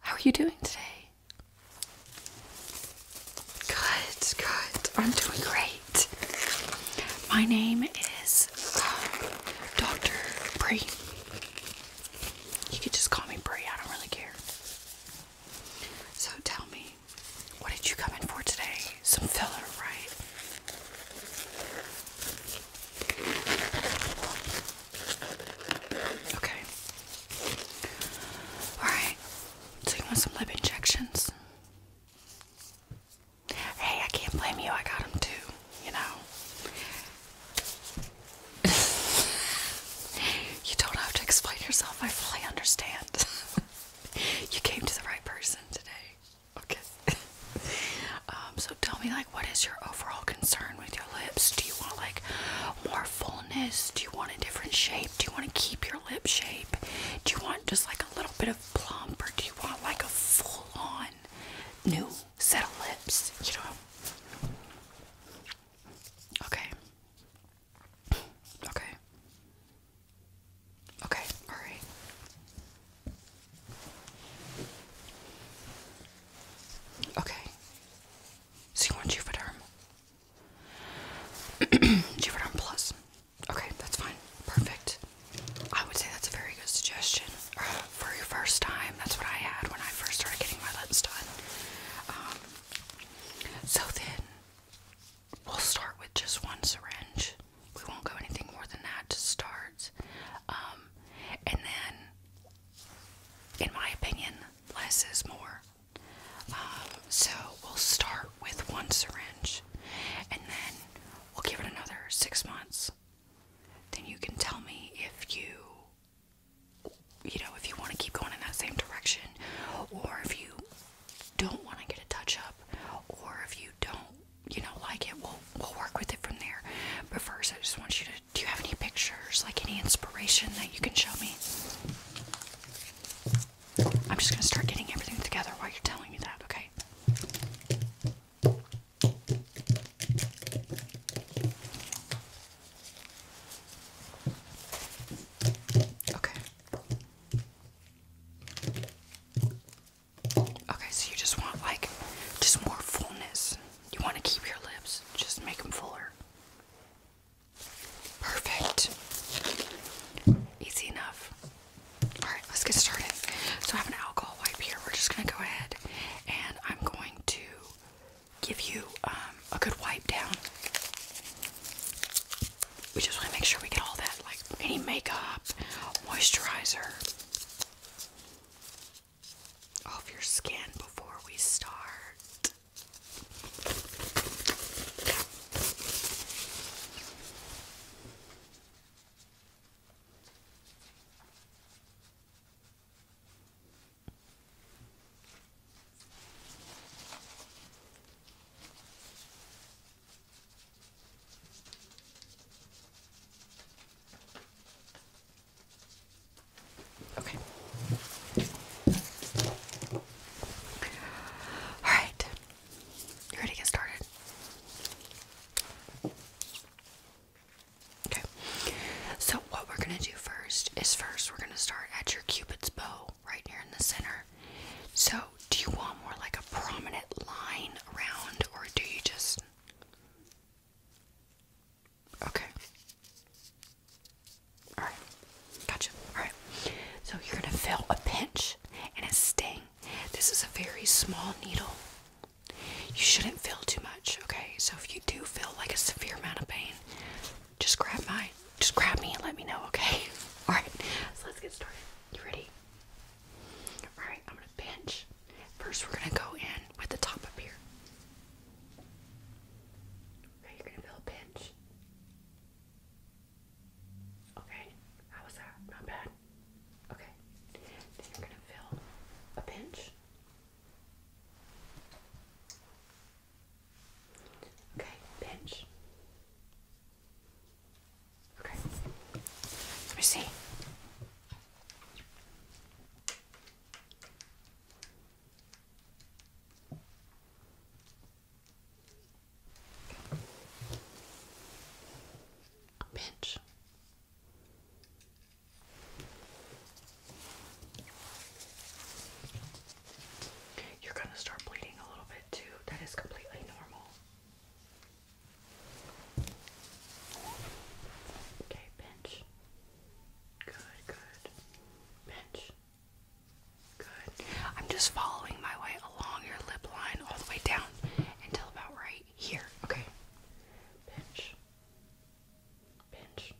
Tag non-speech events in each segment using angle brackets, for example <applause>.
How are you doing today? Good, good. I'm doing great. My name is um, Dr. Bree. You could just call me Bree, I don't really care. So tell me, what did you come in for today? Some filler, right? Okay. Alright. So you want some lip injections? Hey, I can't blame you. I got them too, you know. <laughs> you don't have to explain yourself. I fully understand. <laughs> you came to the right person today. Okay. <laughs> um, so tell me, like, what is your overall concern? with your lips? Do you want like more fullness? Do you want a different shape? Do you want to keep your lip shape? Do you want just like a little bit of plump or do you want like a full on new set of lips? You know? Okay. Okay. Okay, alright. Okay. So you want Juvederm? <clears throat> Juvederm Plus. Okay, that's fine. Perfect. I would say that's a very good suggestion <sighs> for your first time. That's what I had when I first started getting my lips done. Um, so then, we'll start with just one syringe. We won't go anything more than that to start. Um, and then in my opinion, less is more. Um, so we'll start with one syringe and then we'll give it another six months. Then you can tell me if you, you know, if you want to keep going in that same direction or if you don't want to get a touch up or if you don't you know, like it, we'll we'll work with it from there. But first, I just want you to. Do you have any pictures, like any inspiration that you can show me? I'm just gonna start getting everything together while you're telling me that, okay? Okay. Okay, so you just want like just more fullness. You want to keep your lips, just make them fuller. Perfect. Easy enough. Alright, let's get started. So I have an alcohol wipe here. We're just gonna go ahead and I'm going to give you um, a good wipe down. We just want to make sure we get all that, like any makeup, moisturizer, off your skin before we start. Okay. All right. ready to get started? Okay. So what we're gonna do first is first we're gonna start at your cupid's bow right here in the center. So, do you want more like a prominent line around, or do you just. Okay. Alright. Gotcha. Alright. So, you're going to feel a pinch and a sting. This is a very small needle. You shouldn't feel too much, okay? So, if you do feel like a severe amount of pain, just grab my, Just grab me and let me know, okay? <laughs> Alright, so let's get started. You ready? Alright, I'm gonna pinch. First, we're gonna go in with the top up here. Okay, you're gonna feel a pinch. Okay, how was that? Not bad. Okay, then you're gonna feel a pinch. Okay, pinch. Okay. Let me see. pinch. You're going to start bleeding a little bit too. That is completely normal. Okay, pinch. Good, good. Pinch. Good. I'm just following my way along your lip line all the way down until about right here. Okay. Pinch. Pinch.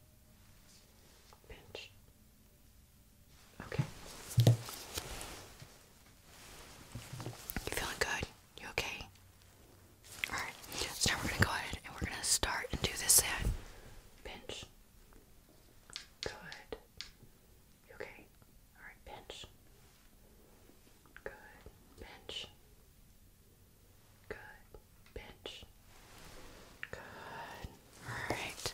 Pinch. Okay. You feeling good? You okay? Alright. So we're gonna go ahead and we're gonna start and do this side. Pinch. Good. You okay? Alright, pinch. Good. Pinch. Good. Pinch. Good. Alright.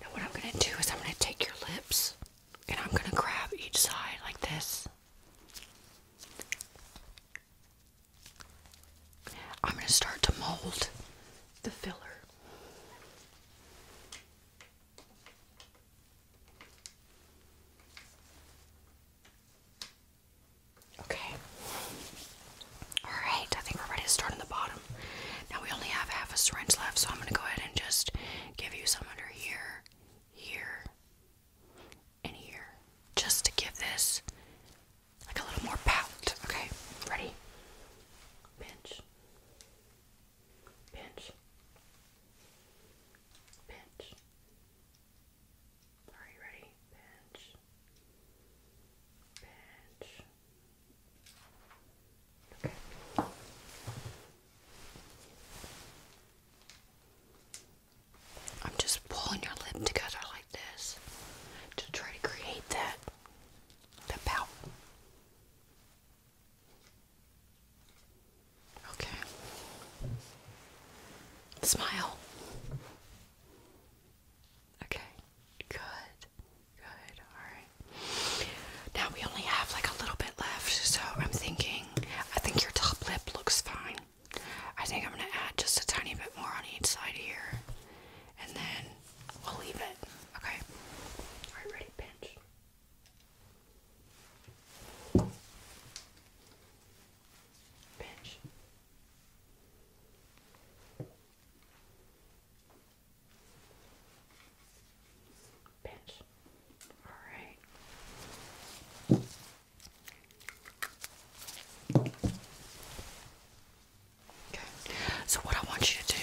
Now, what I'm going to do is I'm going to take your lips and I'm going to grab each side like this. I'm going to start to mold the filler. Okay. Alright, I think we're ready to start on the bottom. Now we only have half a syringe left, so I'm going to go ahead and just give you some under here, here, and here. Just to give this like a little more pout. Okay, ready? Pinch. Pinch. Pinch. Are you ready? Pinch. I'm just pulling your lip together like this to try to create that the pout. Okay. Smile. Okay. Good. Good. Alright. Now we only have like a little bit left, so I'm thinking I think your top lip looks fine. I think I'm gonna add just a tiny bit more on each side here. And then we'll leave it. Okay. Alright, ready, pinch. Pinch. Pinch. All right. Okay. So what I want you to do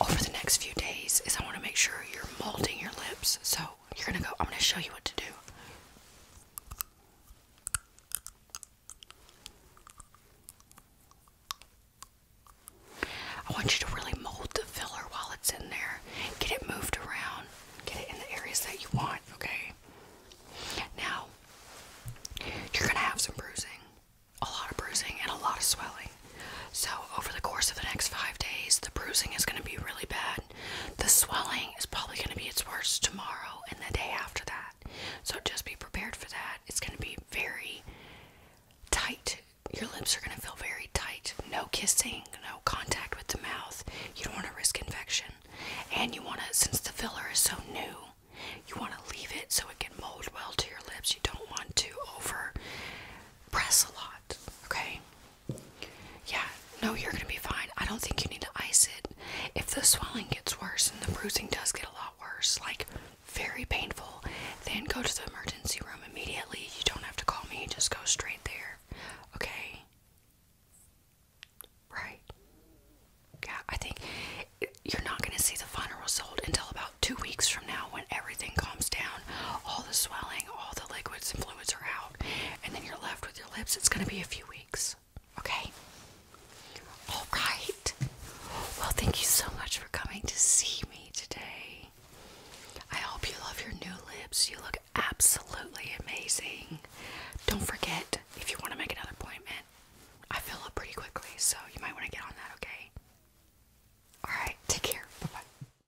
over the next few days is I want to make sure you're molding your lips. So you're gonna go. I'm gonna show you what to do. I want you to really mold the filler while it's in there. Get it moved around. Get it in the areas that you want, okay? Now, you're going to have some bruising. A lot of bruising and a lot of swelling. So, over the course of the next five days, the bruising is going to be really bad. The swelling is probably going to be its worst tomorrow and the day after that. So just be prepared for that. It's going to be very tight. Your lips are going to feel very tight. No kissing, no contact with the mouth. You don't want to risk infection. And you want to, since the filler is so new, you want to leave it so it can mold well to your lips. You don't want to over press a lot, okay? Yeah, no, you're gonna be fine. I don't think you need to ice it. If the swelling gets worse and the bruising does get a lot worse, like very painful, then go to the emergency room immediately. You don't have to call me, just go straight there. Okay? Right. Yeah, I think you're not going to see the final result until about two weeks from now when everything calms down. All the swelling, all the liquids and fluids are out and then you're left with your lips, it's going to be a few weeks. Okay? All right. Well, thank you so much for coming to see me today. I hope you love your new lips. You look absolutely amazing. Don't forget, if you want to make another appointment, I fill up pretty quickly, so you might want to get on that, okay? All right, take care. Bye bye.